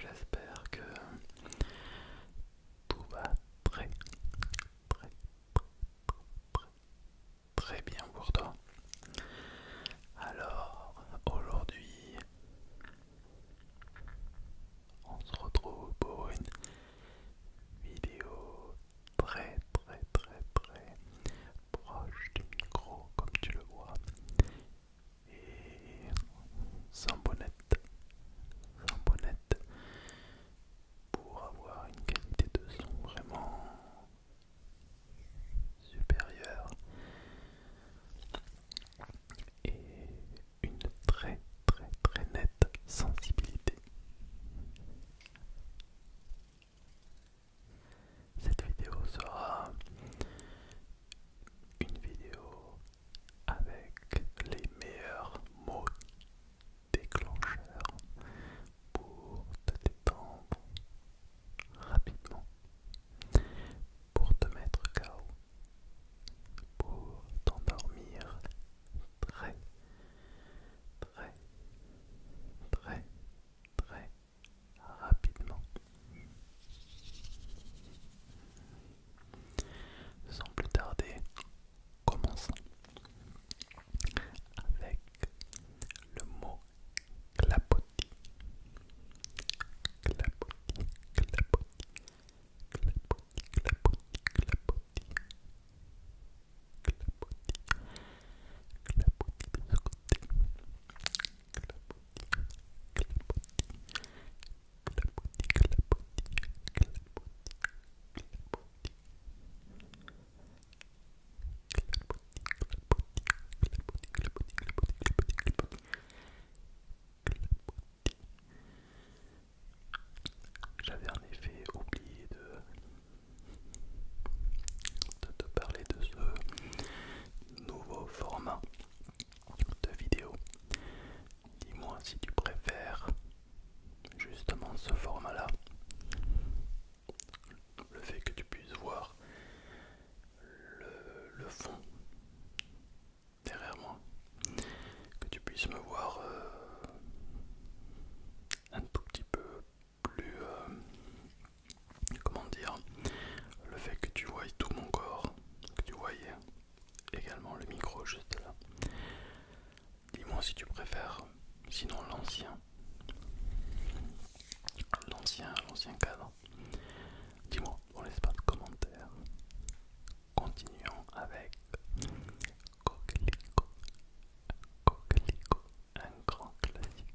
J'espère que tout va très, très, très, très bien pour toi. Alors, aujourd'hui, on se retrouve pour une vidéo très très très très proche du micro comme tu le vois et sans bonnette, sans bonnette pour avoir une qualité de son vraiment supérieure et une très très très nette sensibilité. Cette vidéo sera une vidéo avec les meilleurs mots déclencheurs pour te détendre rapidement, pour te mettre KO, pour t'endormir très, très, très, très rapidement. Sans plus tarder, commençons avec le mot clapotis. Clapotis, clapotis, clapotis, clapotis, clapotis, clapotis, clapotis de ce côté, j'avais en effet oublié de, de te parler de ce nouveau format de vidéo. Dis-moi si tu préfères justement ce format-là. Le fait que tu puisses voir le, fond derrière moi. Que tu puisses me voir euh, un tout petit peu plus... Euh, comment dire, le fait que tu voyais tout mon corps, que tu voyais également le micro juste là. Dis-moi si tu préfères, sinon l'ancien, l'ancien, l'ancien cadre. Dis-moi, on laisse pas de commentaires. Continuons avec un grand classique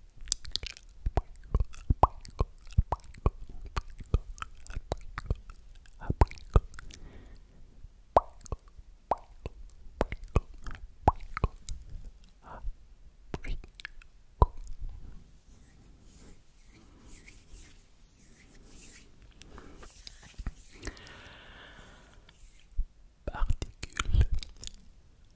Particules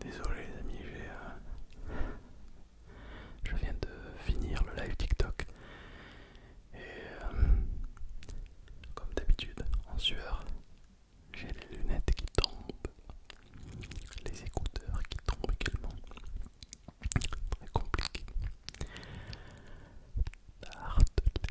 Désolé les amis, j'ai... Euh, je viens de finir le live TikTok. Et euh, comme d'habitude, en sueur, j'ai les lunettes qui tombent, les écouteurs qui tombent également. Très compliqué. Tartelette,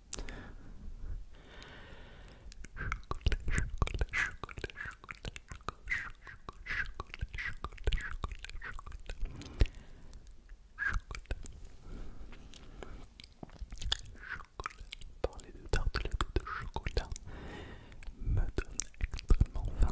Chocolat, chocolat, chocolat, chocolat, chocolat, chocolat, chocolat, chocolat, chocolat. Parler de tartelettes de chocolat me donne extrêmement faim.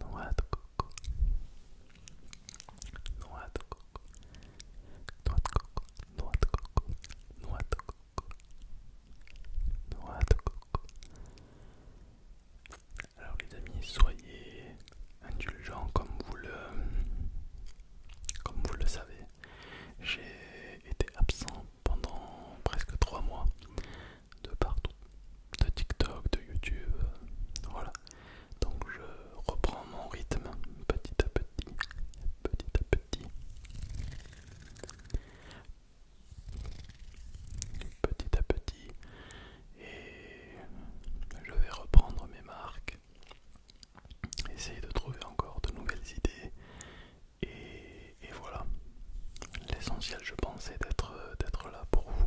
noix de coco, noix de coco, noix de coco, noix de coco, noix de coco, noix de coco. Alors les amis, soyez indulgents comme vous le, comme vous le savez. J'ai été absent pendant presque trois mois de partout de TikTok, de YouTube. Voilà. Donc je reprends mon rythme petit à petit, petit à petit. Petit à petit. Et je vais reprendre mes marques. Essayer de trouver encore de nouvelles idées. Et, voilà. L'essentiel je pense est d'être là pour vous.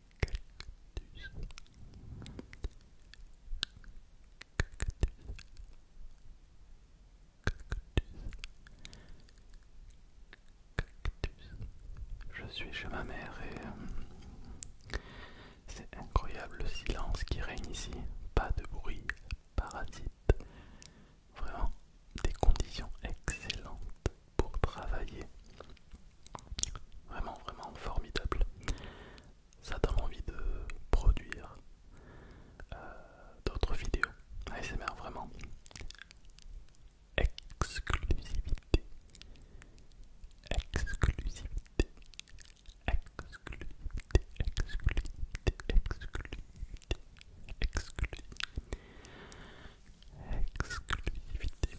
Cactus. Cactus. cactus, cactus... Je suis chez ma mère et euh, c'est incroyable le silence qui règne ici. Pas de bruit, parasite. Vraiment des conditions excellentes pour travailler. Vraiment, vraiment formidable. Ça donne envie de produire euh, d'autres vidéos. c'est vraiment. Exclusivité. Exclusivité. Exclusivité. Exclusivité. Exclusivité. Exclusivité. Exclusivité.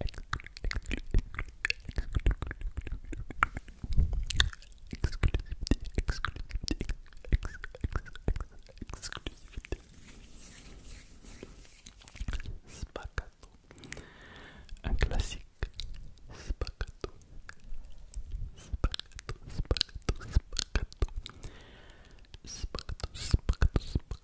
exclusivité Spacato un classique Spacato spacato spacato spacato spacato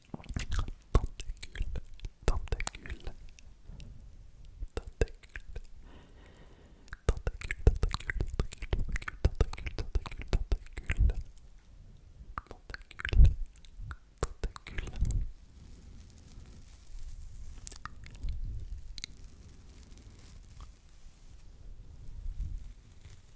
Tentacule, tentacule, tentacule, tentacule, tentacule, tentacule, tentacule, tentacule, tentacule, tentacule,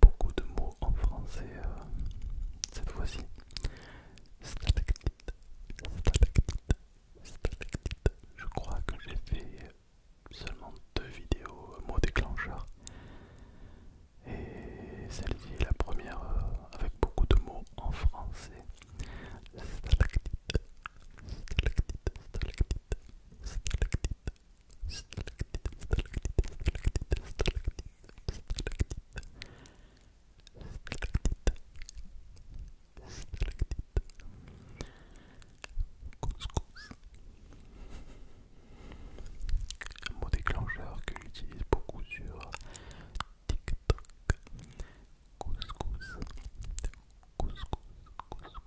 beaucoup de mots en français euh, cette fois-ci. Stalactite, stalactite, stalactite. Je crois que j'ai fait seulement deux vidéos euh, mots déclencheurs. Et celle-ci est la première euh, avec beaucoup de mots en français. Stalactite, stalactite, stalactite, stalactite, un mot déclencheur que j'utilise beaucoup sur TikTok. Couscous. Couscous. Couscous. Couscous.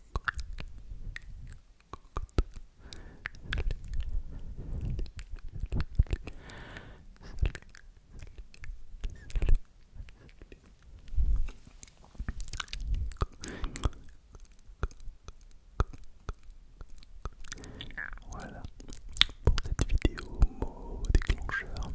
Voilà pour cette vidéo mot déclencheur.